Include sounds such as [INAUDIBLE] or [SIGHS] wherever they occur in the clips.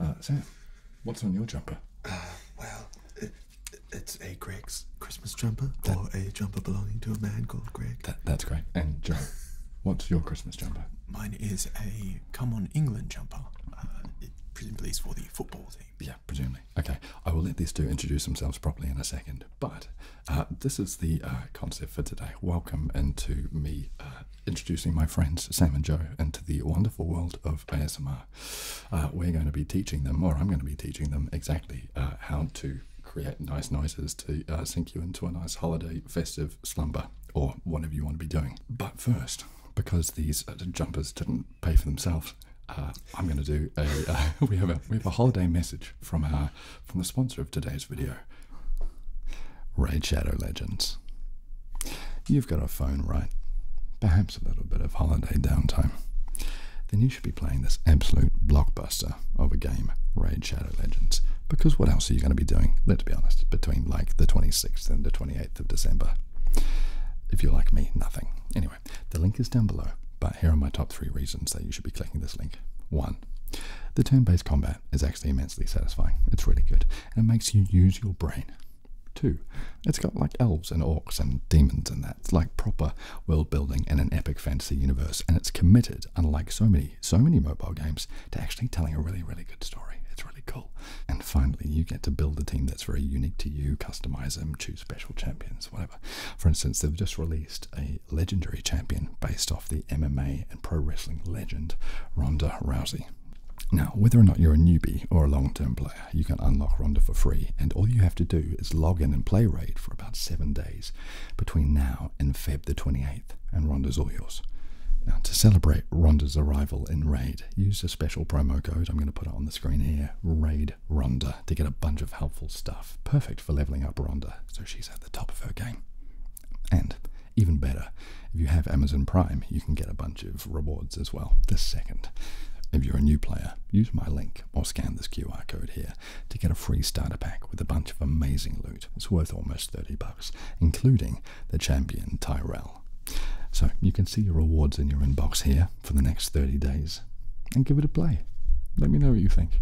Uh, Sam, what's on your jumper? Uh, well, it's a Greg's Christmas jumper, or a jumper belonging to a man called Greg. that's great. And Joe, what's your Christmas jumper? Mine is a Come On England jumper. Uh, it presumably is for the football team. Yeah, presumably. Okay, I will let these two introduce themselves properly in a second. But uh, this is the concept for today. Welcome into me introducing my friends Sam and Joe into the wonderful world of ASMR. Uh, we're going to be teaching them, or I'm going to be teaching them exactly uh, how to create nice noises to uh, sink you into a nice holiday festive slumber or whatever you want to be doing. But first, because these jumpers didn't pay for themselves, I'm going to do a. [LAUGHS] we have a we have a holiday message from our from the sponsor of today's video. Raid Shadow Legends. You've got a phone, right? Perhaps a little bit of holiday downtime. Then you should be playing this absolute blockbuster of a game, Raid Shadow Legends. Because what else are you going to be doing, let's be honest, between like the 26th and the 28th of December? If you're like me, nothing. Anyway, the link is down below, but here are my top three reasons that you should be clicking this link. One, the turn based combat is actually immensely satisfying. It's really good, and it makes you use your brain 2. It's got like elves and orcs and demons and that. It's like proper world building in an epic fantasy universe, and it's committed, unlike so many, so many mobile games, to actually telling a really, really good story. It's really cool. And finally, you get to build a team that's very unique to you, customize them, choose special champions, whatever. For instance, they've just released a legendary champion based off the MMA and pro wrestling legend Ronda Rousey. Now, whether or not you're a newbie or a long-term player, you can unlock Ronda for free, and all you have to do is log in and play Raid for about seven days between now and Feb the 28th, and Ronda's all yours. Now, to celebrate Ronda's arrival in Raid, use a special promo code. I'm going to put it on the screen here, Raid Ronda, to get a bunch of helpful stuff. Perfect for leveling up Ronda, so she's at the top of her game. And even better, if you have Amazon Prime, you can get a bunch of rewards as well this second. If you're a new player, use my link or scan this QR code here to get a free starter pack with a bunch of amazing loot. It's worth almost 30 bucks, including the champion Tyrell. So you can see your rewards in your inbox here for the next 30 days and give it a play. Let me know what you think.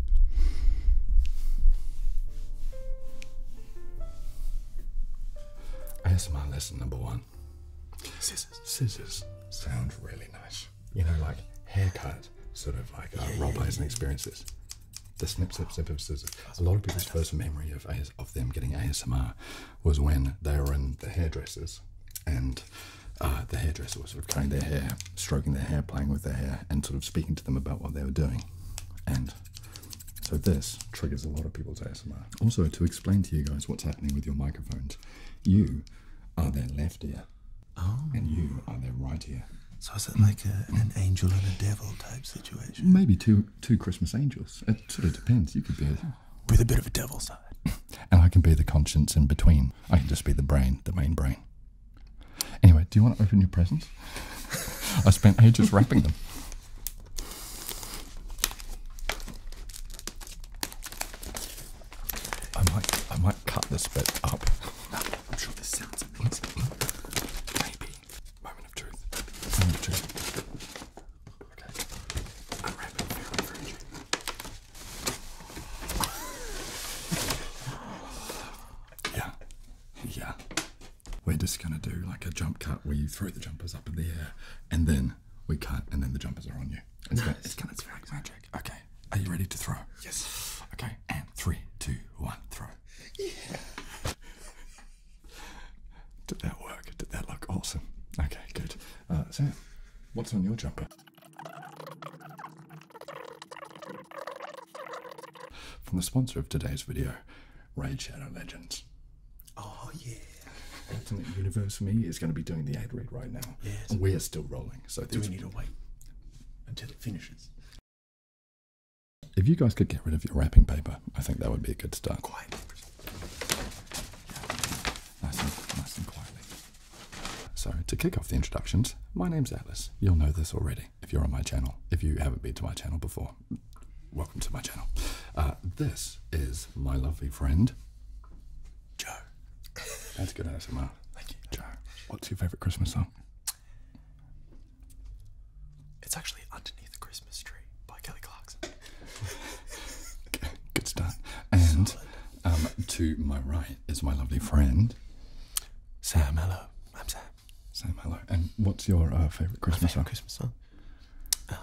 ASMR lesson number one. Scissors. Scissors sound really nice. You know, like haircut, sort of like uh, yeah, role plays yeah, The snip, snip, snip of scissors. A lot of people's first memory of AS of them getting ASMR was when they were in the hairdressers, and uh, the hairdresser was sort of cutting their hair, stroking their hair, playing with their hair, and sort of speaking to them about what they were doing. And so this triggers a lot of people's ASMR. Also, to explain to you guys what's happening with your microphones, you are their left ear, oh. and you are their right ear. So is it like an angel and a devil type situation? Maybe two two Christmas angels. It sort of depends. You could be a, [LAUGHS] with a bit of a devil side, [LAUGHS] and I can be the conscience in between. I can just be the brain, the main brain. Anyway, do you want to open your presents? [LAUGHS] I spent ages wrapping them. I might, I might cut this bit up. Maybe. Moment of truth. Moment of truth. Okay. yeah. Yeah. We're just gonna do like a jump cut where you throw the jumpers up in the air and then we cut and then the jumpers are on you. It's, gonna, it's gonna, it's magic. Okay, are you ready to throw? Yes. Okay, and three, two, one, throw. Yeah. Did that work? Did that look awesome? Okay, good. Uh, Sam, what's on your jumper? From the sponsor of today's video, Raid Shadow Legends. Oh yeah. Ultimate universe for me is going to be doing the ad read right now. Yes. we're still rolling. So do we need to wait until it finishes? If you guys could get rid of your wrapping paper, I think that would be a good start. Quiet. Nice and, nice and quietly. So, to kick off the introductions, my name's Atlas. You'll know this already if you're on my channel, if you haven't been to my channel before welcome to my channel. Uh, this is my lovely friend, Joe. That's good ASMR. Thank you. Joe, what's your favourite Christmas song? It's actually Underneath the Christmas Tree by Kelly Clarkson. [LAUGHS] good start. And um, to my right is my lovely friend, Sam. Hello. I'm Sam. Sam, hello. And what's your uh, favourite Christmas, song? Christmas song? Um,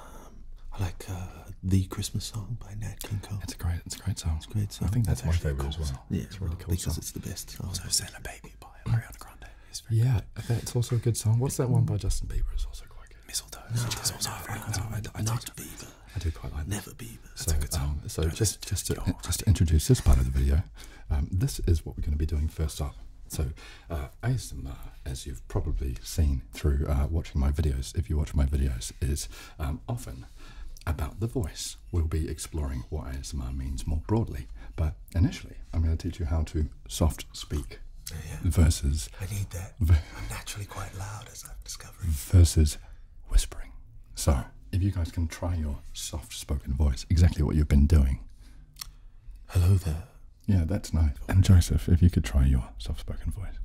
I like uh, the Christmas song by Nat King Cole. It's a great, it's a great song. It's a great song. I think that's, my favorite as well. Yeah, it's really cool because song. it's the best. Also, "Santa Baby" by mm. Ariana Grande. Yeah, it's also a good song. What's that one by Justin Bieber? It's also quite good. Mistletoe. No, it's also no, a very good I, I, Bieber. I do quite like that. Never Bieber. so, um, so just just to, just to introduce this part of the video, um, this is what we're going to be doing first up. So uh, ASMR, as you've probably seen through uh, watching my videos, if you watch my videos, is um, often about the voice. We'll be exploring what ASMR means more broadly, but initially, I'm going to teach you how to soft speak yeah. versus. naturally quite loud, as I've discovered. Versus whispering. So, if you guys can try your soft spoken voice, exactly what you've been doing. Hello there. Yeah, that's nice. And Joseph, if you could try your soft spoken voice.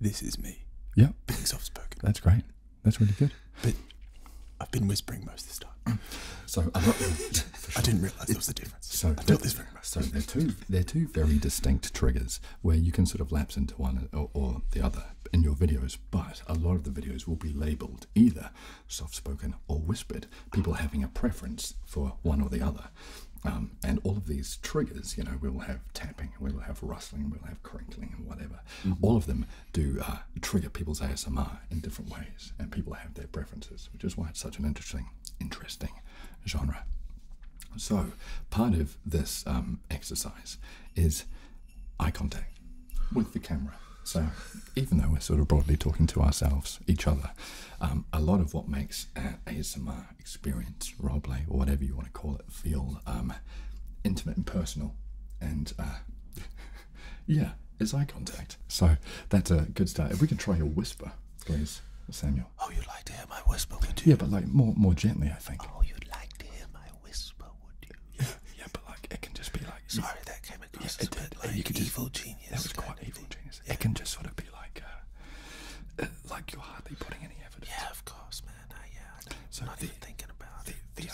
This is me. Yep, Being soft spoken. That's great. That's really good. But I've been whispering most this time. So I'm not, I didn't realise it was the difference. So I this very much. So they're two they're two very distinct triggers where you can sort of lapse into one or, or the other in your videos, but a lot of the videos will be labelled either soft spoken, or whispered, people having a preference for one or the other. Um, and all of these triggers, you know, we'll have tapping, we'll have rustling, we'll have crinkling, and whatever. Mm-hmm. All of them do uh, trigger people's ASMR in different ways, and people have their preferences, which is why it's such an interesting, interesting genre. So, part of this um, exercise is eye contact with the camera. So, even though we're sort of broadly talking to ourselves, each other, um, a lot of what makes our uh, ASMR experience, play, or whatever you want to call it, feel um, intimate and personal. And uh, [LAUGHS] yeah, it's eye contact. So that's a good start. If we can try a whisper, please, Samuel. Oh, you'd like to hear my whisper, would you? Yeah, but like more, more gently, I think. Oh, you'd like to hear my whisper, would you? Yeah, [LAUGHS] yeah but like it can just be like. Sorry, that came it can just sort of be like, uh, uh, like you're hardly putting any evidence. Yeah, of course, man. yeah, I'm not the, thinking about the, it.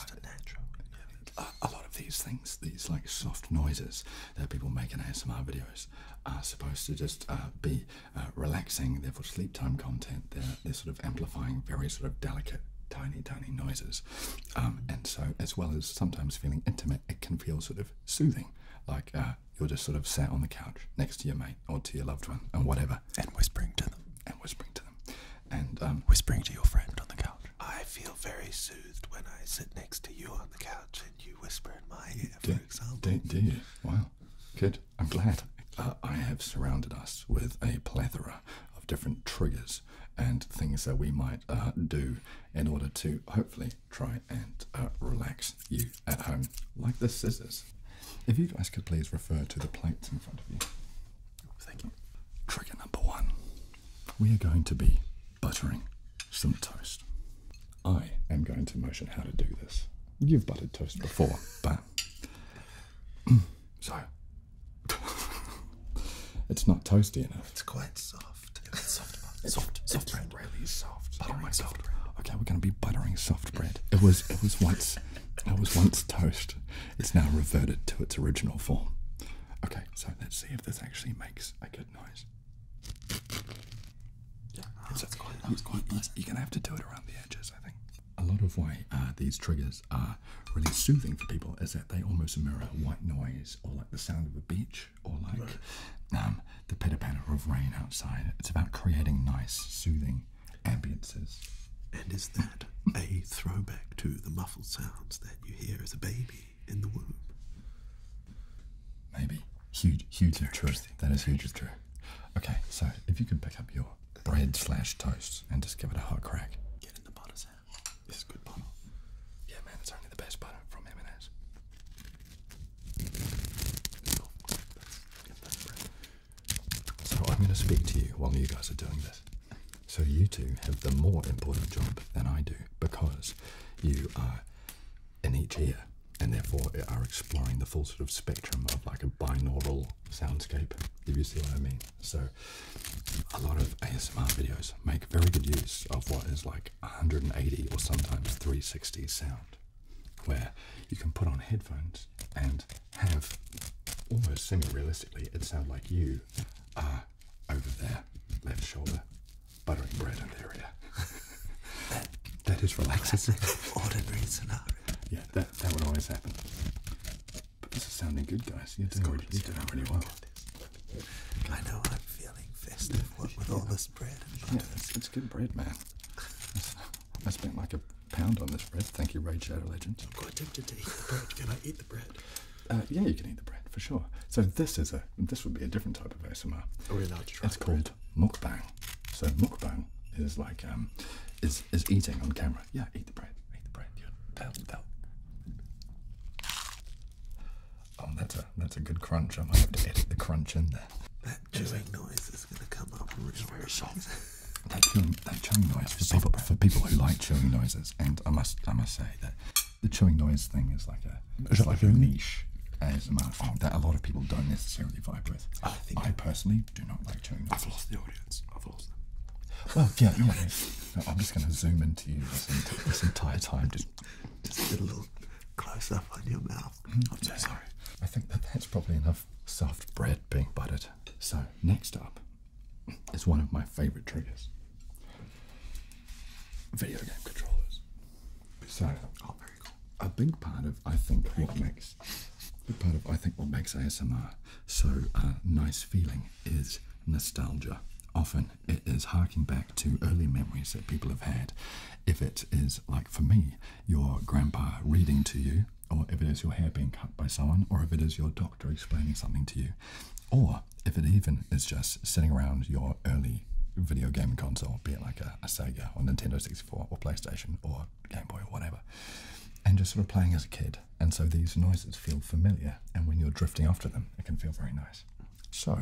a lot of these things, these like soft noises that people make in ASMR videos, are supposed to just uh, be relaxing. Therefore, sleep time content. They're they're sort of amplifying very sort of delicate tiny, tiny noises. Um, and so, as well as sometimes feeling intimate it, can feel sort of soothing, like uh, you're just sort of sat on the couch next to your mate or to your loved one and whatever, and whispering to them, and whispering to them, and um, whispering to your friend on the couch. I feel very soothed when I sit next to you on the couch and you whisper in my ear, for example. Do, do you? Wow, good. I'm glad. Uh, I have surrounded us with a plethora of different triggers and things that we might uh, do in order to hopefully try and uh, relax you at home, like the scissors. If you guys could please refer to the plates in front of you. Thank you. Trigger number one we are going to be buttering some toast. I am going to motion how to do this. You've buttered toast before, [LAUGHS] but. [CLEARS THROAT] so. [LAUGHS] it's not toasty enough. It's quite soft soft. soft, soft, bread. Really soft. Buttering my soft bread. Okay, we're going to be buttering soft bread. It was, it was once, it was once toast. It's now reverted to its original form. Okay, so let's see if this actually makes a good noise. Yeah, it's, that's quite, that was quite nice. You're going to have to do it around the edges, I think. A lot of why uh, these triggers are really soothing for people is that they almost mirror white noise or like the sound of a beach or like um, the pitter patter of rain outside. It's about creating nice, soothing ambiances. And is that a throwback to the muffled sounds that you hear as a baby in the womb? Maybe. Huge, huge true. That is huge of true. Okay, so if you can pick up your bread slash toast and just give it a hot crack. Get in the butter sound. This is good butter. Yeah, man, it's only the best butter from M&S. So I'm going to speak to you while you guys are doing this. So you two have the more important job than I do because you are in each ear and therefore are exploring the full sort of spectrum of like a binaural soundscape, if you see what I mean. So a lot of ASMR videos make very good use of what is like 180 or sometimes 360 sound, where you can put on headphones and have almost semi-realistically it sound like you are over there, left shoulder, buttering bread in their ear. that, [LAUGHS] that is relaxing. ordinary scenario. Yeah, that, that would always happen. But this is sounding good, guys. you it's doing, good. You're doing really well. I know I'm feeling festive what, with all this bread and yeah, it's, good bread, man. I spent like a pound on this bread. Thank you, Raid Shadow Legends. I'm quite tempted to eat the bread. Can I eat the bread? Uh, yeah, you can eat the bread for sure. So this is a this would be a different type of ASMR. Are we allowed to try? It's called mukbang. So mukbang is like um, is is eating on camera. Yeah, eat the bread. Eat the bread. You're, they Oh, that's a that's a good crunch. I might have to edit the crunch in there. That chewing noise is going to come up real very soft. [LAUGHS] That that chewing noise for people, for people who like chewing noises, and I must I must say that the chewing noise thing is like a niche as a matter of fact. that a lot of people don't necessarily vibe with. I think I personally do not like chewing. Noises. I've lost the audience. I've lost them. Well, yeah, I'm just going to zoom into you this, this entire time, just just did a little close up on your mouth. Mm-hmm. I'm so sorry. I think that that's probably enough soft bread being buttered. So, next up is one of my favorite triggers video game controllers. So, oh, very cool. a big part of, I think, what makes. Big part of I think what makes ASMR so uh, nice feeling is nostalgia. Often it is harking back to early memories that people have had. If it is, like for me, your grandpa reading to you, or if it is your hair being cut by someone, or if it is your doctor explaining something to you, or if it even is just sitting around your early video game console, be it like a, Sega or Nintendo 64 or PlayStation or Game Boy or whatever, and just sort of playing as a kid. And so these noises feel familiar, and when you're drifting off to them, it can feel very nice. So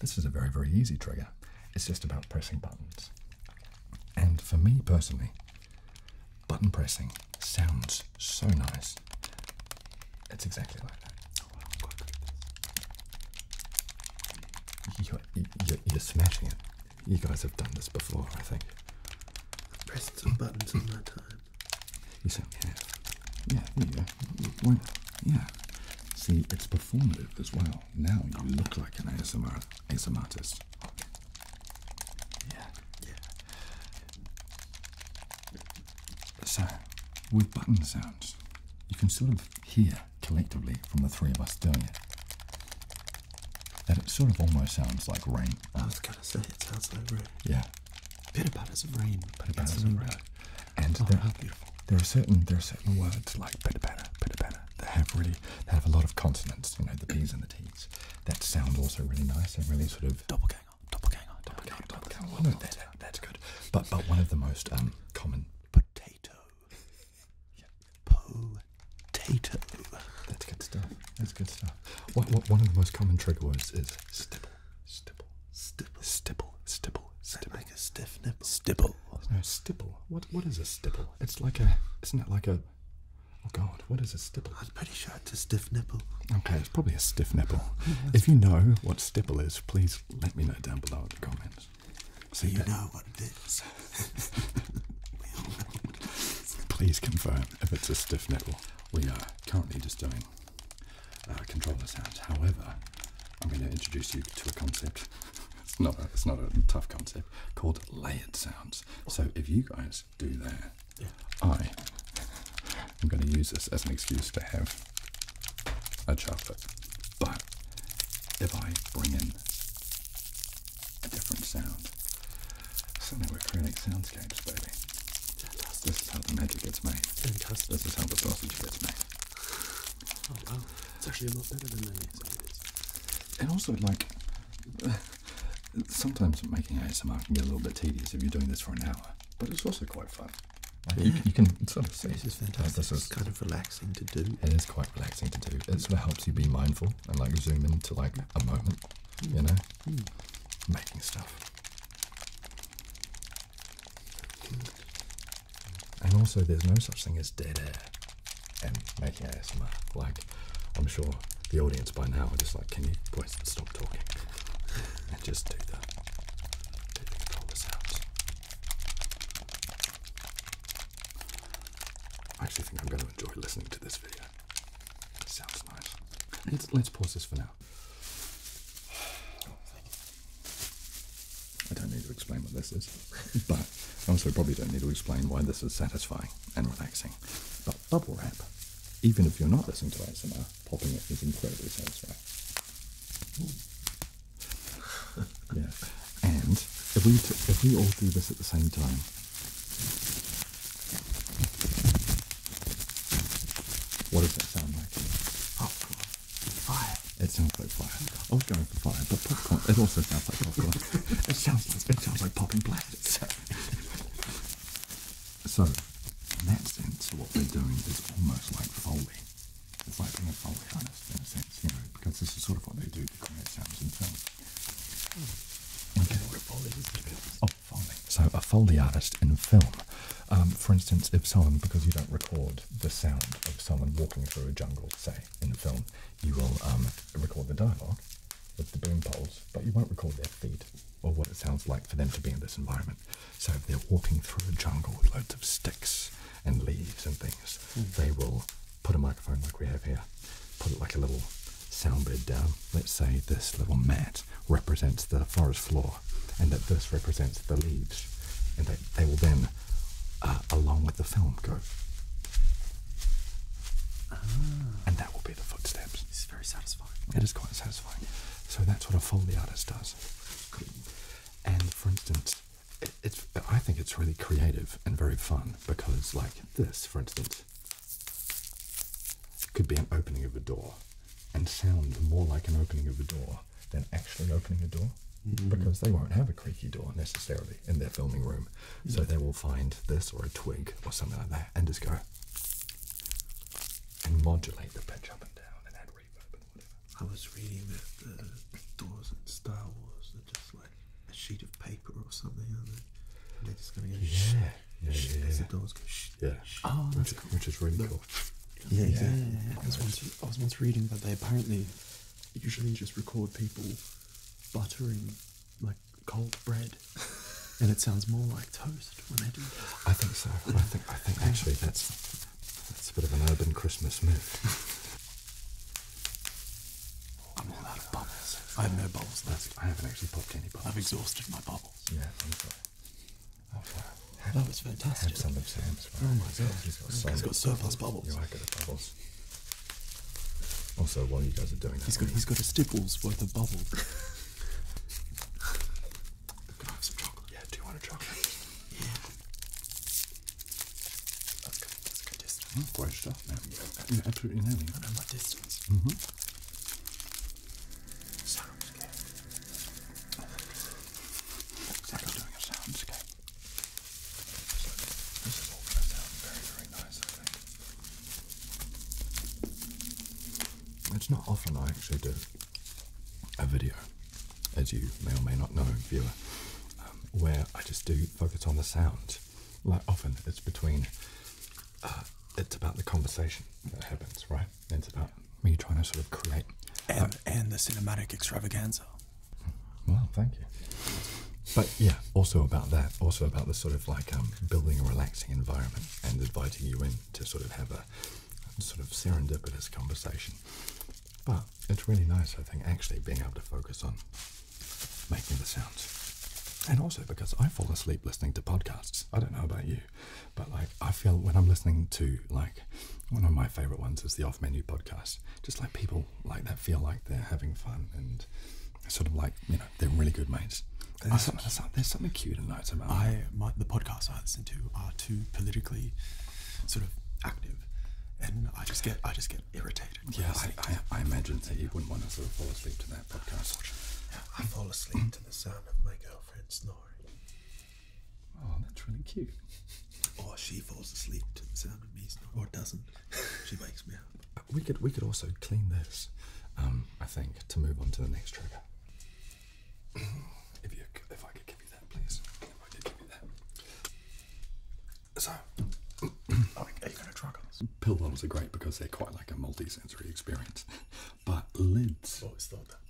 this is a very, very easy trigger. It's just about pressing buttons. And for me personally, button pressing sounds so nice. It's exactly like that. Oh, oh, you're, smashing it. You guys have done this before, I think. I've Pressed some buttons in my time. You say, yeah, yeah, yeah, yeah, why Yeah. See, it's performative as well. Now you look like an ASMR, ASMR artist. Yeah, yeah. So, with button sounds, you can sort of hear collectively from the three of us doing it that it sort of almost sounds like rain. I was gonna say it sounds like rain. Yeah. Pitter patters of rain. Pitter patters of rain and oh, there, beautiful. There are certain there are certain words like pitta patta, pitta patta that have really that have a lot of consonants. You know the p's and the T's. That sound also really nice and really sort of doppelganger, doppelganger, doppelganger, doppelganger. Well, no, that, that, that's good. But but one of the most um, common potato, potato. That's good stuff. That's good stuff. What, one of the most common trigger words is stipple. Stipple. Stipple. Stipple. Stipple. Stipple. Like a stiff nipple. Stipple. No, stipple. What? What is a stipple? It's like a. Isn't it like a? Oh God! What is a stipple? I'm pretty sure it's a stiff nipple. Okay, it's probably a stiff nipple. if you know what stipple is, please let me know down below in the comments. So you know what it is. [LAUGHS] [LAUGHS] please confirm if it's a stiff nipple. We are currently just doing uh, controller sound. However, I'm going to introduce you to a concept. [LAUGHS] it's not a, it's not a tough concept called layered sounds. So if you guys do that, I am going to use this as an excuse to have a chocolate. But if I bring in a different sound, something with are creating soundscapes, baby. This is how the magic gets made. This is how the sausage gets made. Oh wow, it's actually a lot better than many ASMRs. And also, like, [LAUGHS] sometimes making ASMR can get a little bit tedious if you're doing this for an hour, but it's also quite fun. you, can sort of see. This is oh, fantastic. This is it's kind of relaxing to do. It is quite relaxing to do. It sort of helps you be mindful and like zoom into like a moment, you know, hmm. Hmm. making stuff. And also, there's no such thing as dead air and making ASMR. Like, I'm sure the audience by now are just like, can you please stop talking [LAUGHS] and just do that? do the controller I actually think I'm going to enjoy listening to this video. sounds nice. Let's, pause this for now. [SIGHS] Oh, I don't need to explain what this is, [LAUGHS] but I also probably don't need to explain why this is satisfying and relaxing. But bubble wrap, even if you're not listening to ASMR, popping it is incredibly satisfying. [LAUGHS] yeah, and if we if we all do this at the same time. What does that sound like? Oh, Fire. It sounds like fire. I was going for fire, but popcorn. It also sounds like popcorn. [LAUGHS] it sounds like it sounds like popping bladders. [LAUGHS] so, in that sense, what they're doing is almost like foley. It's like being a foley artist in a sense, you know, because this is sort of what they do to create sounds in films. Oh. Hmm. Okay. Foley Oh, foley. So a foley artist in film um, for instance, if someone, because you don't record the sound of someone walking through a jungle, say, in a film, you will um, record the dialogue with the boom poles, but you won't record their feet or what it sounds like for them to be in this environment. So if they're walking through a jungle with loads of sticks and leaves and things, hmm. they will put a microphone like we have here, put it like a little sound bed down. Let's say this little mat represents the forest floor and that this represents the leaves and that they will then uh, along with the film go ah. and that will be the footsteps This is very satisfying it is quite satisfying so that's what a foley artist does and for instance it's i think it's really creative and very fun because like this for instance could be an opening of a door and sound more like an opening of a door than actually opening a door mm-hmm. because they won't have a creaky door necessarily in their filming room. So they will find this or a twig or something like that and just go and modulate the pitch up and down and add reverb and whatever. I was reading that the doors in Star Wars are just like a sheet of paper or something, And they're just going to go yeah. yeah, yeah. Oh, that's which, is really cool. Yeah, yeah. I, was once, I was once reading that they apparently usually just record people buttering like cold bread. [LAUGHS] and it sounds more like toast when they do that. I think so. I think I think actually that's that's a bit of an urban Christmas myth. [LAUGHS] I'm all out of bubbles. I have no bubbles left. I haven't actually popped any bubbles. I've exhausted my bubbles. Yeah, have, oh, that fantastic. Have some of Sam's. Oh my god. He's got, so, he's got so fast bubbles. You like it, the bubbles. Also, while you guys are doing that, he's got, he's got a stipple's worth of bubbles. [LAUGHS] I have some chocolate? Yeah, do you want a chocolate? Yeah. That's good, that's good oh, distance. great stuff, man. absolutely nailing I know my distance. Mm-hmm. Looks doing a soundscape. this is all going to very, very nice, It's not often I actually do a video, as you may or may not know, viewer, um, where I just do focus on the sound. Like often it's between, uh, it's about the conversation that happens, right? It's about me trying to sort of create. And, and the cinematic extravaganza. Well, thank you. But yeah, also about that, also about the sort of like um, building a relaxing environment and inviting you in to sort of have a sort of serendipitous conversation. But it's really nice, I think, actually being able to focus on making the sounds. And also because I fall asleep listening to podcasts. I don't know about you. But like I feel when I'm listening to like one of my favorite ones is the Off Menu podcast. Just like people like that feel like they're having fun and sort of like you know they're really good mates. There's, something, something, cute and nice about. I the podcasts I listen to are too politically sort of active, and I just get I just get irritated. Yeah, I, imagine that you wouldn't want to sort of fall asleep to that podcast. I fall asleep to the sound of my girlfriend snoring. Oh, that's really cute. Or oh, she falls asleep to the sound of me snoring, or doesn't. [LAUGHS] She wakes me up. We could we could also clean this, um, I think, to move on to the next trigger. if you if I could give you that, please. If I could give you that. So, [CLEARS THROAT] are you going to try those? Pill bottles are great because they're quite like a multisensory experience, but lids. Always oh, thought that.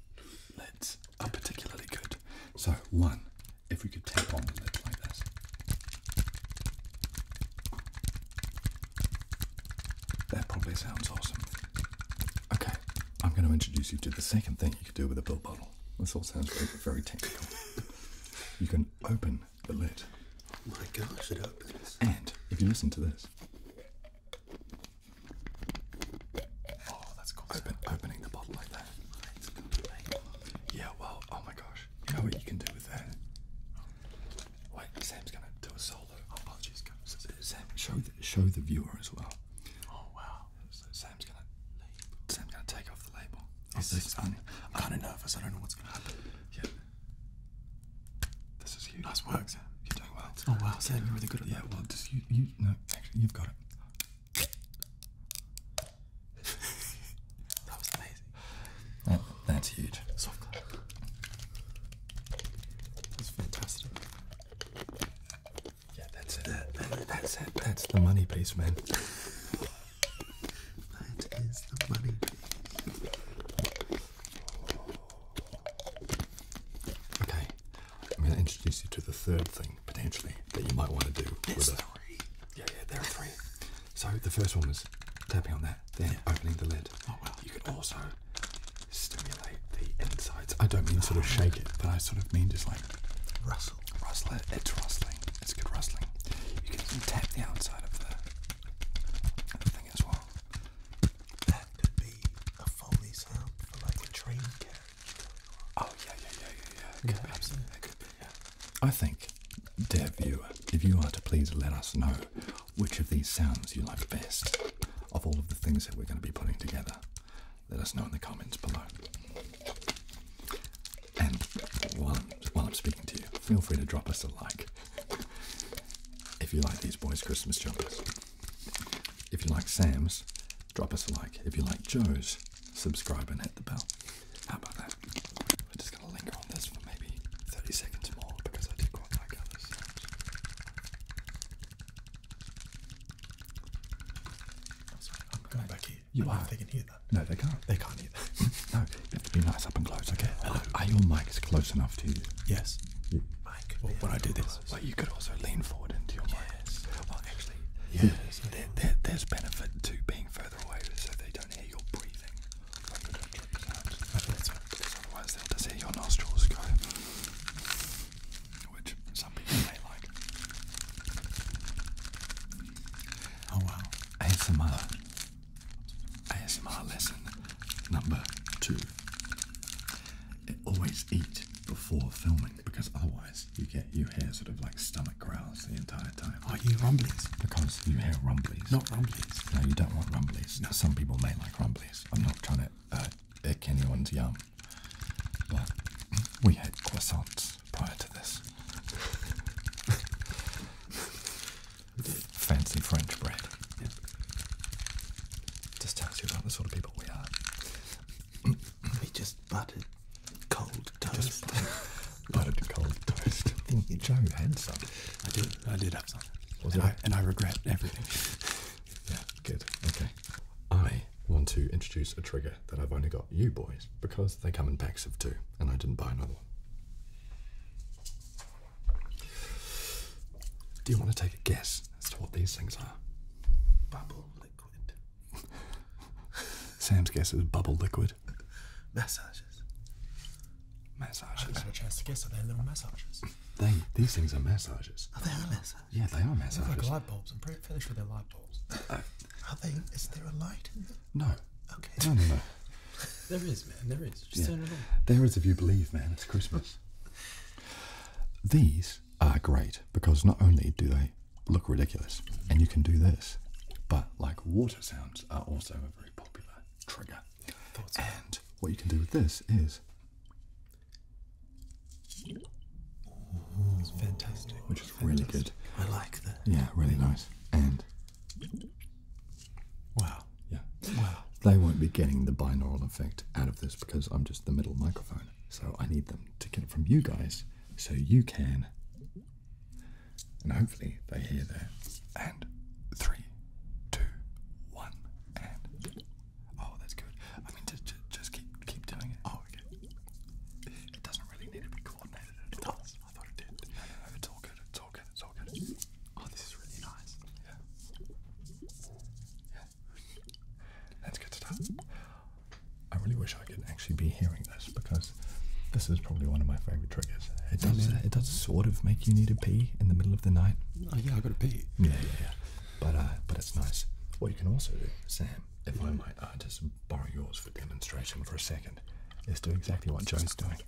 Lids are particularly good. So, one, if we could tap on the lid like this. That probably sounds awesome. Okay, I'm going to introduce you to the second thing you could do with a pill bottle. This all sounds very, technical. [LAUGHS] You can open the lid. My gosh, it opens. And if you listen to this, Oh, that's cool. opening the bottle like that. Yeah, well, oh my gosh. You know what you can do with that? Wait, Sam's gonna do a solo. Oh, apologies, Sam, show the, viewer as well. Oh, wow. Sam's gonna, Sam's gonna take off the label. Oh, this I'm kind of nervous. I don't know what's gonna happen. Yeah. This is huge. Nice work, Sam. You're doing well. Oh, wow, Sam, you're really good at yeah, Yeah, well, just you, you, no, you've got it. that was amazing. that's huge. That's fantastic. Yeah, that's it. that's it. That's the money piece, man. that is the money Okay, I'm going to introduce you to the third thing potentially that you might want to do. There's with three. yeah, yeah, there are three. So the first one is tapping on that, then opening the lid. Oh well, you could also stimulate the insides. I don't mean sort of oh, shake it, but I sort of mean just like rustle, rustle It's rustling. It's good rustling. You can even tap the outside of the, the thing as well. That could be a foley sound like a train carriage. Oh yeah, yeah, yeah, yeah, yeah. Could yeah, be. Absolutely, could be. Yeah. I think, dear viewer, if you are to please let us know which of these sounds you like best of all of the things that we're going to be putting together, let us know in the comments below. And while I'm, while I'm speaking to you, feel free to drop us a like if you like these boys' Christmas jumpers. If you like Sam's, drop us a like. If you like Joe's, subscribe and hit the bell. How about that? We're just going to linger on this for maybe 30 seconds more because I do quite like how I'm going back here. You are. they can hear that. No, they can't. They can't hear that. [LAUGHS] no, you have to be nice up and close. Okay. Hello. Are your mics close enough to you? Yes well, when I do this, well, you could also lean forward into your mic. Well, actually, yes. there's benefit to being further away so they don't hear your breathing. otherwise, they'll just hear your nostrils go, which some people may like. Oh, wow. ASMR. ASMR lesson number two. It always eat before filming because otherwise you get you hear sort of like stomach growls the entire time. Are oh, you rumblies? Because you hear rumblies. Not rumblies. No, you don't want rumblies. No, some people may like rumblies. I'm not trying to uh, anyone's yum, but we had croissants prior to this. [LAUGHS] Fancy French bread. Just tells you about the sort of people we are. [CLEARS THROAT] we just buttered cold toast. buttered [LAUGHS] cold toast. I think you, Joe had some. I did. I did have some. and, I, and I regret everything. [LAUGHS] yeah. Good. Okay. I want to introduce a trigger that I've only got you boys because they come in packs of two, and I didn't buy another one. Do you want to take a guess as to what these things are. Bubble liquid. Sam's guess is bubble liquid. Massages. Massages. I've had a chance to guess. Are little massages? They, these things are massages. Are they are massages? Yeah, they are massages. They're like light bulbs. I'm pretty fairly sure they're light bulbs. Uh, are they? Is there a light in them? No. Okay. No, no, no. there is, man. There is. Just turn it on. There is if you believe, man. It's Christmas. [LAUGHS] These these are great because not only do they look ridiculous and you can do this, but like water sounds are also a very popular trigger. And what you can do with this is. fantastic. Which is really good. I like that. Yeah, really nice. And. Wow. Yeah. Wow. They won't be getting the binaural effect out of this because I'm just the middle microphone. So I need them to get it from you guys so you can. And hopefully they hear that. And three, two, one, and. Oh, that's good. I mean, just, just, keep keep doing it. Oh, okay. It doesn't really need to be coordinated at all. I thought it did. No, it's all good. It's all good. It's all good. Oh, this is really nice. Yeah. Yeah. That's good stuff. I really wish I could actually be hearing this because this is probably one of my favorite triggers. It does, it does sort of make you need a pee in the middle of the night. Oh yeah, I got to pee. Yeah, yeah, yeah. But uh, but it's nice. What you can also do, Sam, if I might uh, just borrow yours for demonstration for a second, let Let's do exactly what Joe's doing,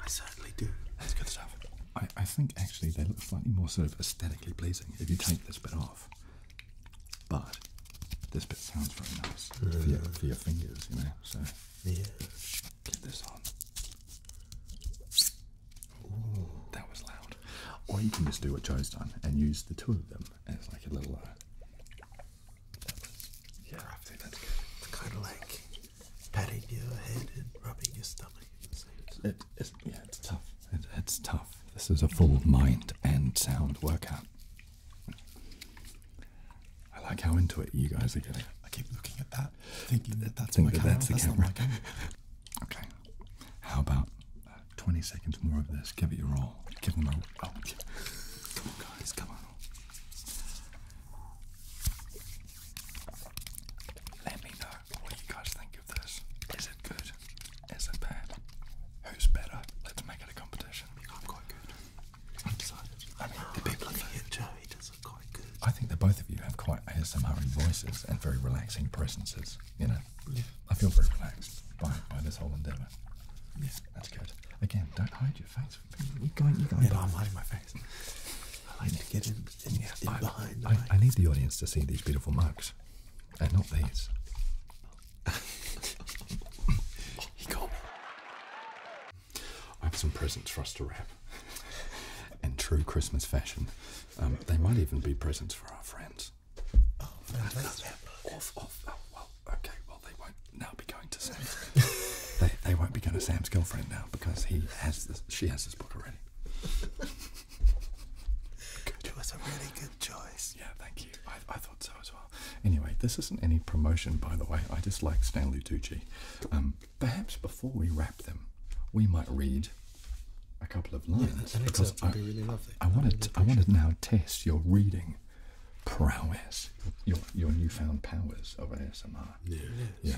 I certainly do. That's good stuff. I, I think actually they look slightly more sort of aesthetically pleasing if you take this bit off. But this bit sounds very nice for, mm. your, for your fingers, you know. So yeah. get this on. Ooh. That was loud. Or you can just do what Joe's done and use the two of them it's like a little. Uh, yeah, I think that's good. It's kind of like patting your head and rubbing your stomach. it's, yeah, it's tough. it's tough. This is a full mind and sound workout. I like how into it you guys are getting. I keep looking at that, thinking that that's think my that That's the camera. [LAUGHS] okay. How about uh, 20 seconds more of this. Give it your all. Give them a. Oh, yeah. Come on, guys. Come on. Let me know what you guys think of this. Is it good? Is it bad? Who's better? Let's make it a competition. I'm quite good. I'm excited. I mean, the people looking at Joey does look quite good. I think the both of you have quite ASMR voices and very relaxing presences. You know, I feel very relaxed by, this whole endeavour. Yes, That's good. Again, don't hide your face. You're going, you're going yeah, I'm hiding my face. I like to get in, behind. I, need the audience to see these beautiful mugs, and not these. [LAUGHS] he got me. I have some presents for us to wrap. in true Christmas fashion, um, they might even be presents for our friends books. Oh, Off, off. Oh, well, okay, well, they won't now be going to Sam's. [LAUGHS] they, they won't be going to Sam's girlfriend now because he has this, she has this book already. Good. It a really good choice. Yeah, thank you. I, I thought so as well. Anyway, this isn't any promotion, by the way. I just like Stanley Tucci. Um, perhaps before we wrap them, we might read a couple of lines because I, really I, I want to. I want to now test your reading prowess, your your newfound powers of ASMR. Yeah. yeah.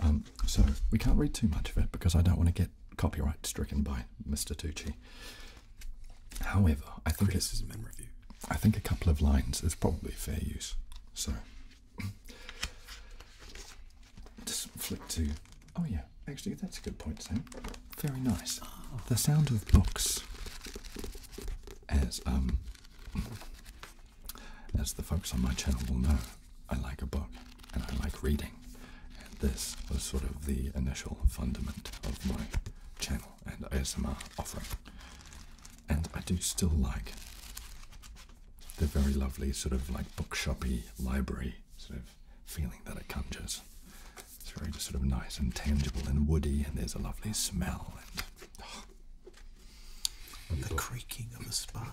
Um, so, we can't read too much of it because I don't want to get copyright stricken by Mr. Tucci. However, I think criticism and review. I think a couple of lines is probably fair use. So [CLEARS THROAT] just flick to. Oh yeah, actually, that's a good point, Sam. Very nice. The sound of books, as um, as the folks on my channel will know, I like a book and I like reading, and this was sort of the initial fundament of my channel and ASMR offering. And I do still like the very lovely sort of like bookshoppy library sort of feeling that it conjures. It's very sort of nice and tangible and woody, and there's a lovely smell and oh, the creaking of a spine,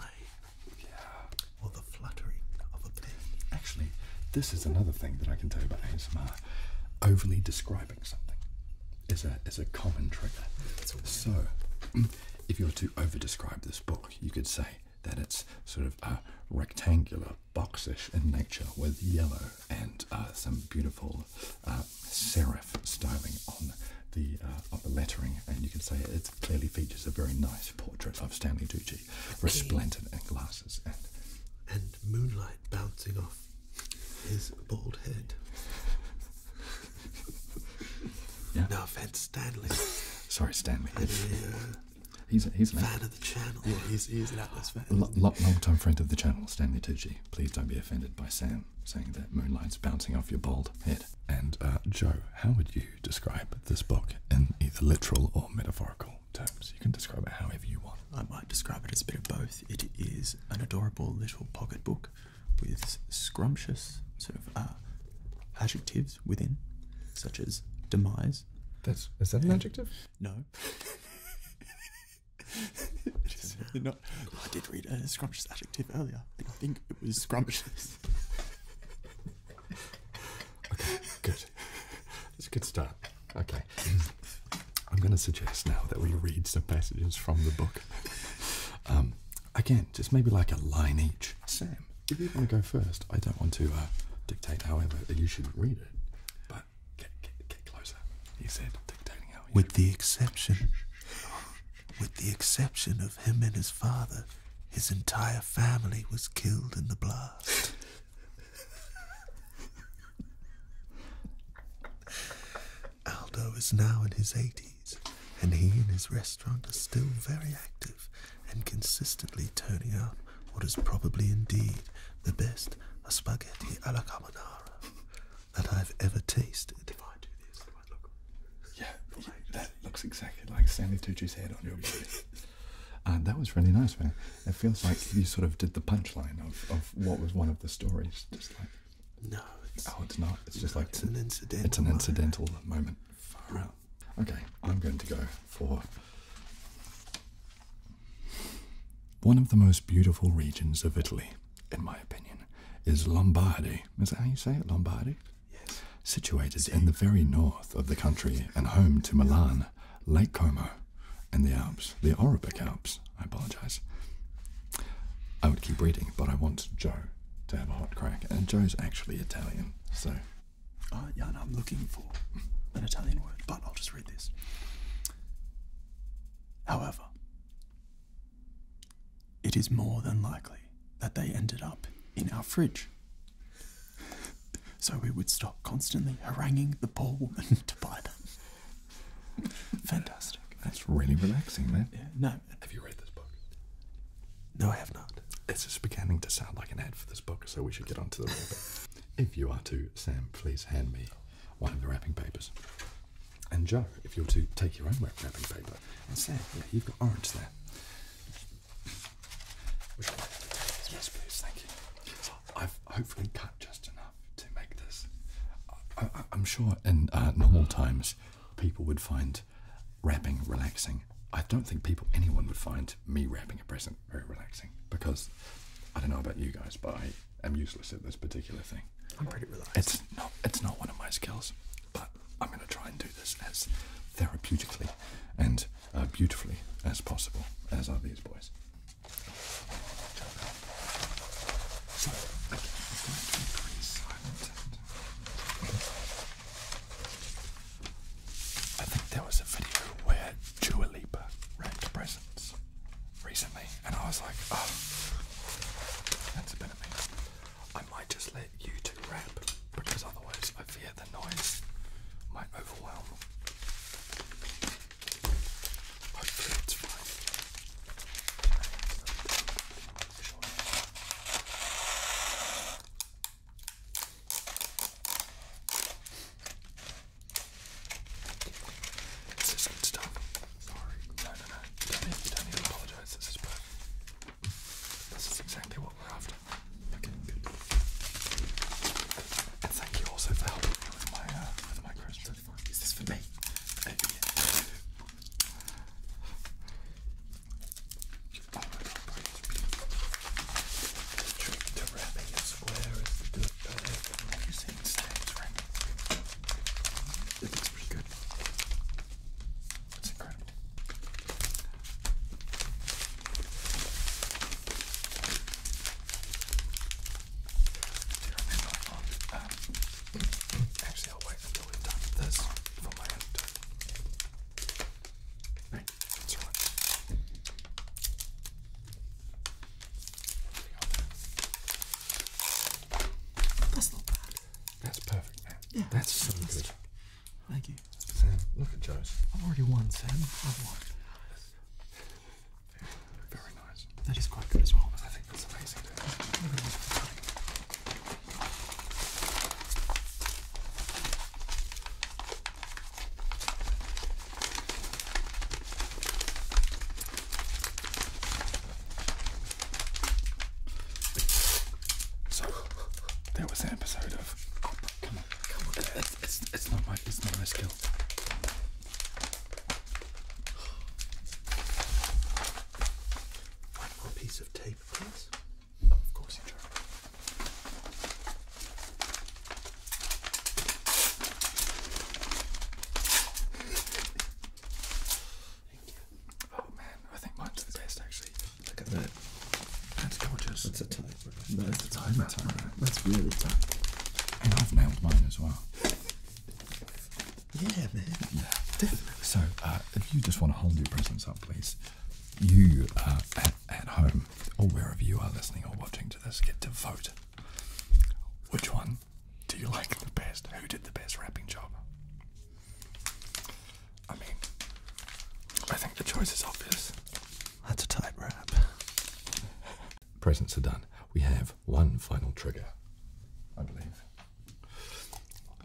yeah, or the fluttering of a pen. Actually, this is another thing that I can tell you about ASMR. Overly describing something is a is a common trigger. So, [CLEARS THROAT] if you were to over describe this book, you could say that it's sort of a rectangular boxish in nature with yellow and uh, some beautiful uh, serif styling on the uh, on the lettering, and you can say it clearly features a very nice portrait of Stanley Tucci, resplendent in glasses and and moonlight bouncing off his bald head. yeah. No offense, Stanley. Sorry, Stanley. He's a, fan of the channel. he's, an Atlas fan. L long-time friend of the channel, Stanley Tucci. Please don't be offended by Sam saying that moonlight's bouncing off your bald head. And uh, Joe, how would you describe this book in either literal or metaphorical terms? You can describe it however you want. I might describe it as a bit of both. It is an adorable little pocketbook with scrumptious sort of uh, adjectives within, such as demise. That's is that an adjective? No. Just, uh, not, I did read a uh, scrumptious adjective earlier. I think, it was scrumptious. okay, good. It's a good start. Okay. I'm going to suggest now that we read some passages from the book. Um, again, just maybe like a line each. Sam, if you want to go first, I don't want to uh, dictate however you should read it. With the exception, with the exception of him and his father, his entire family was killed in the blast. Aldo is now in his 80s, and he and his restaurant are still very active and consistently turning out what is probably indeed the best a spaghetti alla carbonara that I've ever tasted. Yeah, that looks exactly like Stanley Tucci's head on your body. [LAUGHS] and that was really nice, man. It feels like you sort of did the punchline of, of what was one of the stories. Just like no, it's, oh, it's not. It's just like an incidental. It's an incidental moment. moment. Far out. Okay, I'm going to go for one of the most beautiful regions of Italy, in my opinion, is Lombardy. Is that how you say it? Lombardy? Yes. Situated in the very north of the country and home to Milan, Lake Como, and the Alps, the Arabic Alps. I apologize. I would keep reading, but I want Joe to have a hot crack, and Joe is actually Italian, so uh, yeah, I'm looking for an Italian word, but I'll just read this. However, it is more than likely that they ended up in our fridge. So we would stop constantly haranguing the poor woman [LAUGHS] to buy them. Fantastic. That's really relaxing, man. no. Have you read this book? No, I have not. It's just beginning to sound like an ad for this book, so we should get onto the real [LAUGHS] bit. If you are to, Sam, please hand me one of the wrapping papers. And Joe, if you're to take your own wrapping paper. And Sam, yeah, you've got orange there. Yes, please, thank you. I've hopefully cut just enough to make this. I, am sure in uh, normal times people would find wrapping relaxing. I don't think people, anyone would find me wrapping a present very relaxing. Because I don't know about you guys, but I am useless at this particular thing. I'm pretty relaxed. It's not it's not one of my skills, but I'm gonna try and do this as therapeutically and uh, beautifully as possible, as are these boys. I think there was a video where Dua Lipa wrapped presents recently, and I was like, oh, that's a bit of me. I might just let you two wrap because otherwise I fear the noise might overwhelm. Hopefully it's fine. This is good stuff. Sorry. No, no, no. don't need, to apologize. This is perfect. This is exactly what we're after. Okay, And thank you also for helping me with my, uh, with my question. Is this for me? The trick to wrapping it square is to do it better than It looks pretty good. It's incredible. actually I'll wait until we've done this for my own that's not bad. That's perfect, man. Yeah, that's so good. Thank you. Sam, look at Joe's. I've already won, Sam. I've won. Very, very nice. That is quite good as well. I think that's amazing. Dude. So there was an episode of. come on, come on. It's, it's, not my it's not my skill. One more piece of tape, please. Of course you try. Oh man, I think mine's the best actually. Look at that. That's gorgeous. That's a timer. That's a timer. That's, That's really tough. And I've nailed mine as well. Yeah, man. Yeah. So, uh, if you just want to hold your presents up, please, you uh, at home or wherever you are listening or watching to this get to vote. Which one do you like the best? Who did the best rapping job? I mean, I think the choice is obvious. That's a tight rap. Presents are done. We have one final trigger, I believe.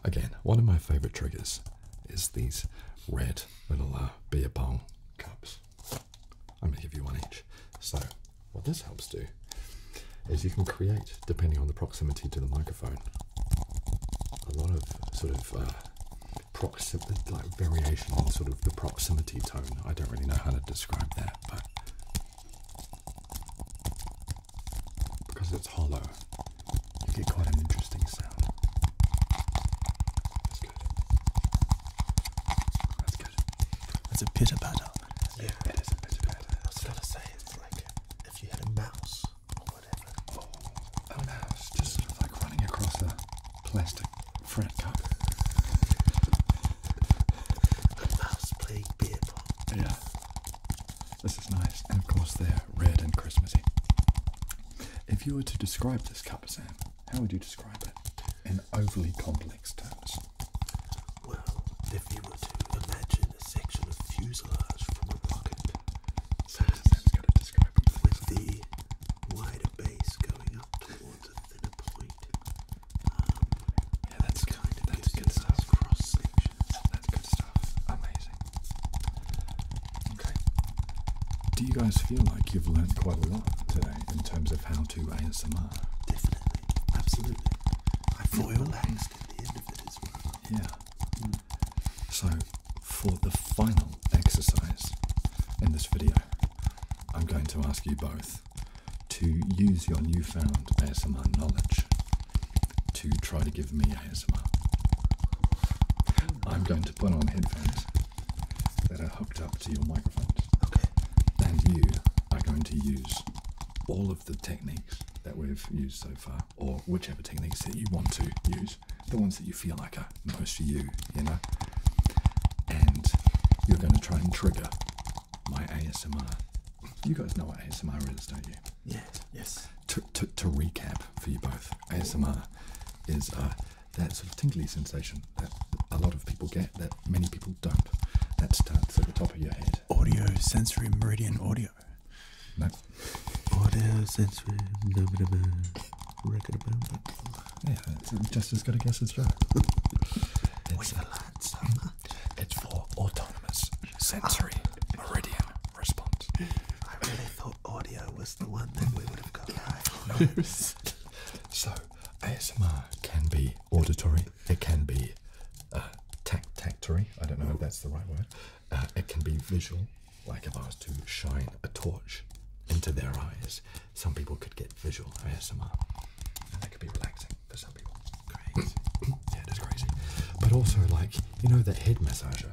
Again, one of my favourite triggers is these red little uh, beer pong cups. I'm going to give you one each. So, what this helps do is you can create, depending on the proximity to the microphone, a lot of sort of uh, proximity, variation in sort of the proximity tone. I don't really know how to describe that, but because it's hollow, you get quite an interesting sound. That's good. That's good. That's a pitter patter. Yeah, it is a pitter patter. I was gonna say it's like if you had a mouse or whatever. Oh, a mouse just sort of like running across a plastic fret cup. a mouse playing beer pong. Yeah. This is nice, and of course they're red and Christmassy. If you were to describe this cup, Sam, how would you describe it in overly complex terms? Well, if you were to imagine a section of fuselage from a rocket, so that's going to describe it. With the wider base going up towards a thinner point. Um, yeah, that's kind of that's good stuff. Cross sections. That's good stuff. Amazing. Okay. Do you guys feel like you've learned quite a lot today in terms of how to ASMR? Definitely. Absolutely. I feel relaxed at the end of it as well. Yeah. Hmm. So, for the final exercise in this video, I'm going to ask you both to use your newfound ASMR knowledge to try to give me ASMR. Hmm. I'm going to put on headphones that are hooked up to your microphones. Okay. And you are going to use all of the techniques that we've used so far, or whichever techniques that you want to use, the ones that you feel like are most for you, you know? And you're going to try and trigger my ASMR. You guys know what ASMR is, don't you? Yes. yes. To, recap for you both, ASMR is that sort of tingly sensation that a lot of people get that many people don't. That starts at the top of your head. Audio sensory meridian audio. No. Yeah, it's just as good a guess as right. [LAUGHS] It's, We've learned so It's for autonomous sensory meridian response. I really thought audio was the one that we would have got right. [LAUGHS] [LAUGHS] So ASMR can be auditory. It can be uh, tactory. I don't know if that's the right word. Uh, it can be visual. Like if I was to shine a torch into their eyes, some people could get visual ASMR, and that could be relaxing for some people. yeah, it is crazy. But also, like you know, that head massager.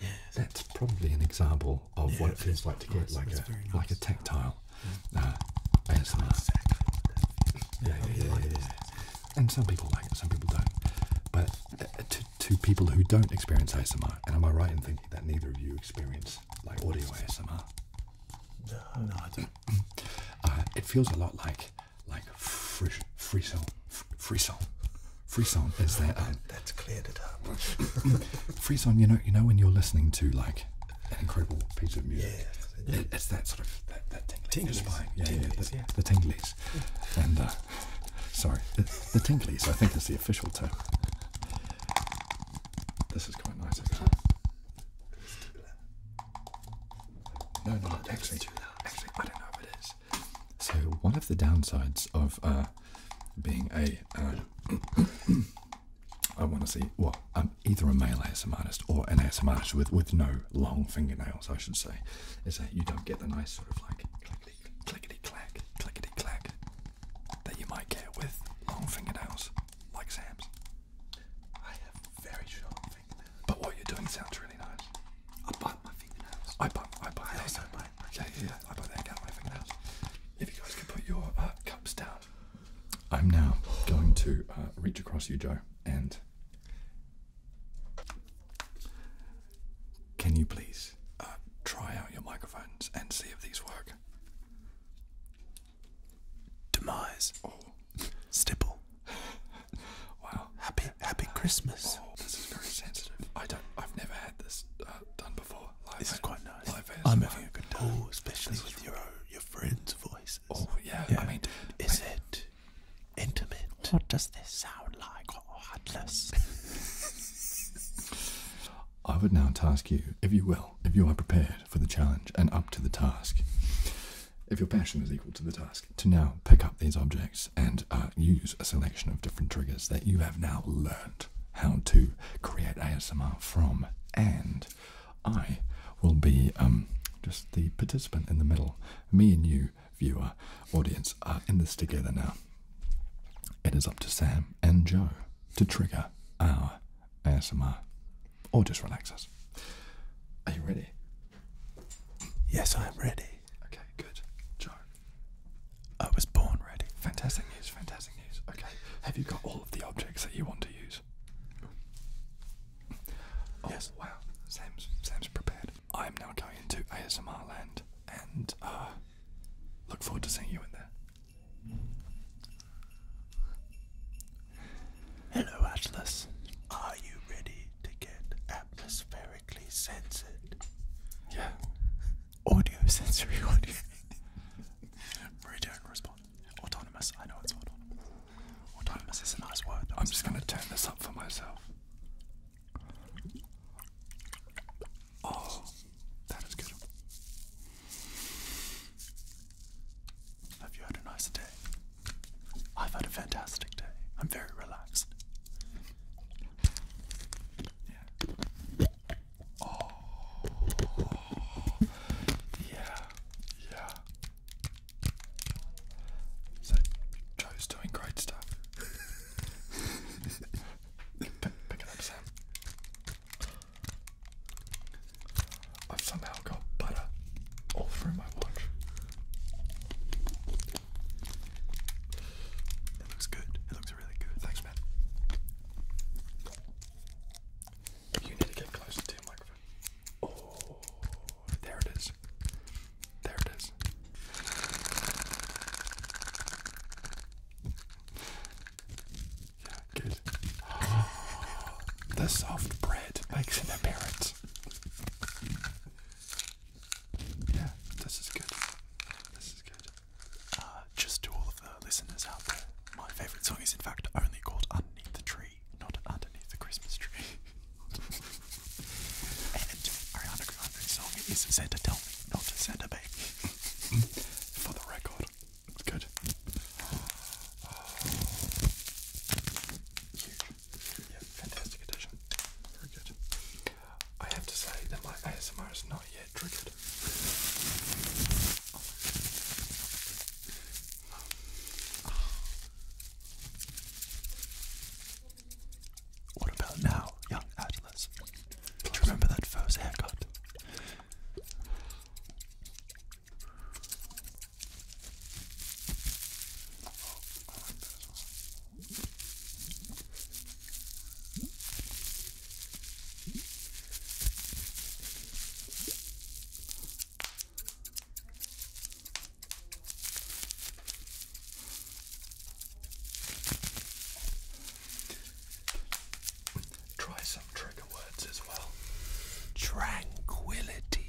Yes. That's probably an example of what it feels like to get like a like a tactile mm. uh, ASMR. yeah, yeah, yeah, And some people like it, some people don't. But uh, to, to people who don't experience ASMR, and am I right in thinking that neither of you experience like audio ASMR? No, no, I don't. [CLEARS THROAT] Uh, it feels a lot like like free free song, free song. Free song is that that's cleared it up. [LAUGHS] Freezone, you know, you know when you're listening to like an incredible piece of music. it's that sort of that, that tingling. Yeah, yeah, the, yeah. And uh, sorry, the, the I think is the official term. This is quite nice, actually. No, no, actually, actually, I don't know if it is. So one of the downsides of uh, being a, uh, [COUGHS] I want to see well, I'm either a male ASM artist or an ASM artist with with no long fingernails, I should say, is that you don't get the nice sort of like clickety clickety clack clickety clack that you might get with long fingernails like Sam's. I have very short fingernails, but what you're doing sounds really nice. I bite my fingernails. I bite. I bite. I okay, yeah, I put that down If you guys could put your uh, cups down. I'm now going to uh, reach across you, Joe, and can you please uh, try out your microphones and see if these work? Demise. Stipple. [LAUGHS] wow. Happy Happy Christmas. Oh, this is very sensitive. I don't. I've never had this done before. Oh, this is quite nice. I'm having a good time. Oh, especially with your your friends' voices. Oh yeah, yeah. I mean, is it intimate? What does this sound like, oh, [LAUGHS] I would now task you, if you will, if you are prepared for the challenge and up to the task, if your passion is equal to the task, to now pick up these objects and uh, use a selection of different triggers that you have now learned how to create ASMR from, and I will be um, just the participant in the middle. Me and you, viewer, audience, are in this together now. It is up to Sam and Joe to trigger our ASMR or just relax us. Are you ready? Yes, I am ready. Okay, good. Joe, I was born ready. Fantastic news, fantastic news. Okay, have you got all of the objects that you want to use? Oh, yes. Wow, Sam's, Sam's prepared. I'm now going into ASMR land and uh, look forward to seeing you in there. Hello, Atlas. Are you ready to get atmospherically censored? Yeah. Audio [LAUGHS] sensory audio. Bro, do Autonomous. I know it's autonomous. Autonomous is a nice word. I'm just gonna turn this up for myself. Oh, that is good. Have you had a nice day? I've had a fantastic day. I'm very relaxed. Yeah. Oh, yeah, yeah. So, Joe's doing great stuff. [LAUGHS] pick it up, Sam. I've somehow got butter all through my watch. It looks good really good. Thanks, man. You need to get closer to your microphone. Oh, there it is. There it is. Yeah, good. [GASPS] the soft bread makes an appearance. Yeah, this is good. This is good. Uh, just to all of the listeners out there, my favourite song is in fact only called Underneath the Tree, not Underneath the Christmas Tree. [LAUGHS] and Ariana Grande's song is Santa Tell Me, not Santa Baby. [LAUGHS] For the record. Good. Huge. fantastic addition. Very good. I have to say that my ASMR is not yet triggered. What about now, young Atlas? Do you remember that first haircut? Try some trigger words as well. Tranquility.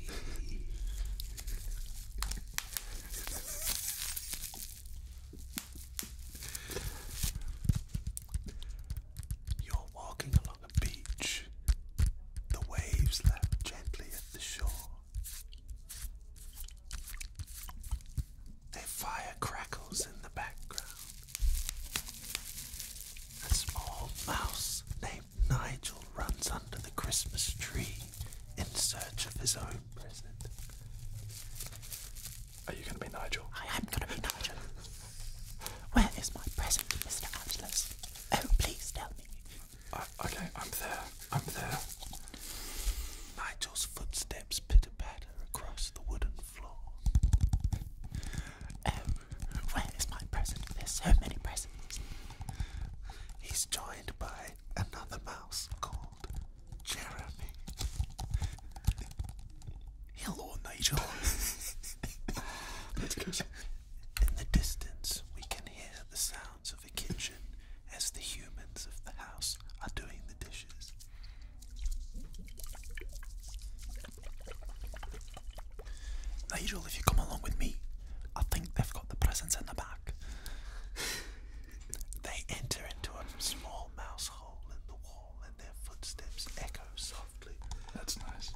You're walking along a beach. The waves lap gently at the shore. Their fire crackles in the background. A small mouse named Nigel runs under the Christmas tree in search of his own present. Are you going to be Nigel? I am going to be Nigel. Where is my present, Mr. Angelus? Oh, please tell me. Uh, okay, I'm there. I'm there. Nigel's footsteps pitter patter across the wooden floor. Oh, where is my present? There's so many presents. He's joined by another mouse called Jeremy. Hello, Nigel. In the distance, we can hear the sounds of a kitchen as the humans of the house are doing the dishes. Nigel, if you come along with me, I think they've got the presents in the back. they enter into a small mouse hole in the wall and their footsteps echo softly. That's nice.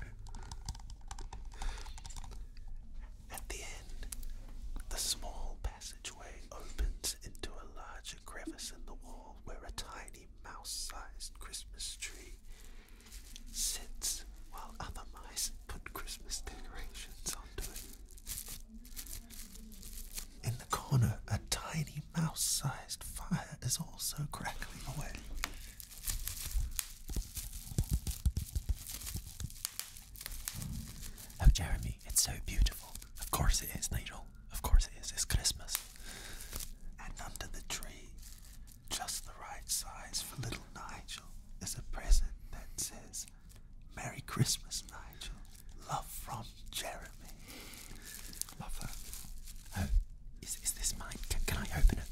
At the end, the small passageway opens into a larger crevice in the wall where a tiny mouse sized Christmas tree sits while other mice put Christmas decorations onto it. In the corner, a tiny mouse sized fire is also crackling away. Oh, Jeremy, it's so beautiful. Of course it is, Nigel. Of course it is. It's Christmas. And under the tree, just the right size for little Nigel, is a present that says, Merry Christmas, Nigel. Love from Jeremy. Love that. Uh, is, is this mine? can I open it?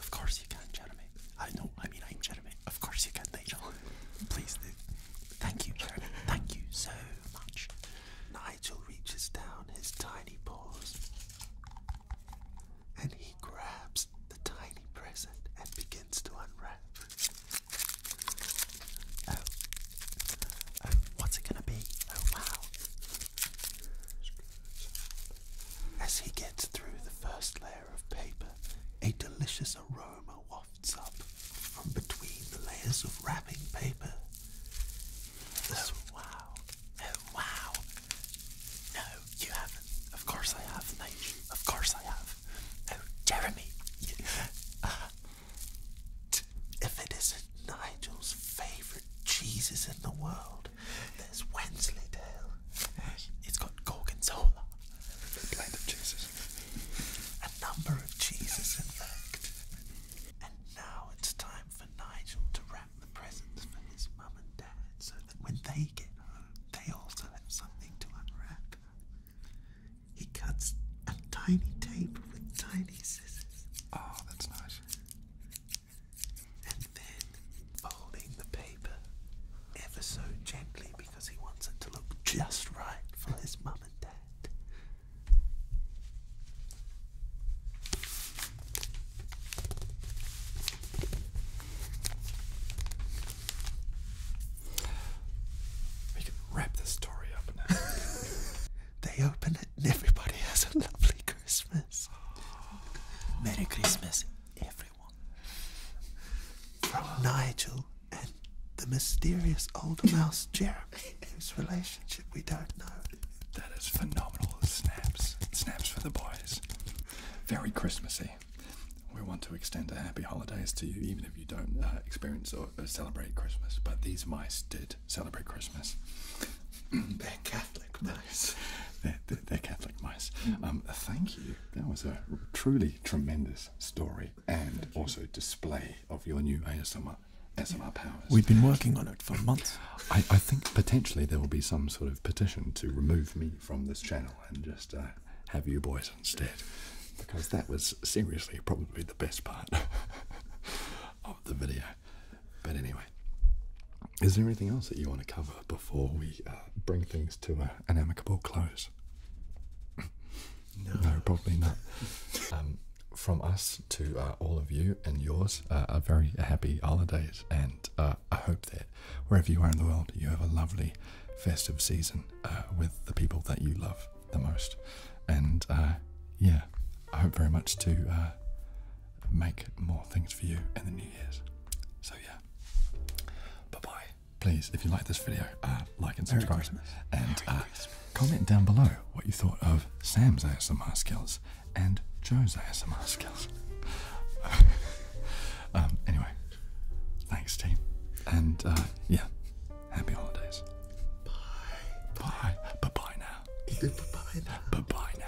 Of course you can, Jeremy. I know, I mean, I'm Jeremy. Of course you can, Nigel. Please do. Thank you, Jeremy. Thank you so much. Nigel reaches down his tiny paws and he grabs the tiny present and begins to unwrap. Oh. Oh, what's it gonna be? Oh wow. As he gets through the first layer of paper, a delicious aroma wafts up from between the layers of wrapping paper. Oh wow. Oh wow. No, you haven't. Of course I have, mate. Of course I have. Oh, Jeremy. [LAUGHS] Ah. If it isn't Nigel's favourite cheeses in the world, there's Wensleydale. It's got gorgonzola. A blend of cheeses. A number of cheeses, in fact. And now it's time for Nigel to wrap the presents for his mum and dad so that when they get home, they also have something to unwrap. He cuts a tiny tape with tiny scissors. Oh, that's nice. And then folding the paper ever so gently because he wants it to look just right for his mum and dad. We can wrap this story up now. [LAUGHS] They open it and everybody has a lovely Christmas. Merry Christmas, everyone. From Nigel and the mysterious old mouse Jeremy, whose relationship we don't know. That is phenomenal. Snaps. Snaps for the boys. Very Christmassy. We want to extend a happy holidays to you, even if if you don't uh, experience or uh, celebrate Christmas. But these mice did celebrate Christmas. [CLEARS THROAT] they're Catholic mice. They're, Catholic mice. Mm. Um, thank you. That was a truly tremendous story and also display of your new ASMR. SMR powers. We've been working on it for months. I, think potentially there will be some sort of petition to remove me from this channel and just uh, have you boys instead because that was seriously probably the best part [LAUGHS] of the video. But anyway, is there anything else that you want to cover before we uh, bring things to an amicable close? No, probably not. Um, from us to uh, all of you and yours, uh, a very happy holidays, and I hope that wherever you are in the world, you have a lovely festive season with the people that you love the most. And uh, yeah, I hope very much to uh, make more things for you in the new year's. So yeah, bye bye. Please, if you like this video, uh, like and subscribe, and comment down below what you thought of Sam's ASMR skills and Joe's ASMR skills. [LAUGHS] Um, anyway, thanks team, and yeah, Happy holidays. Bye. Bye. Bye bye now. Bye now. Bye bye now.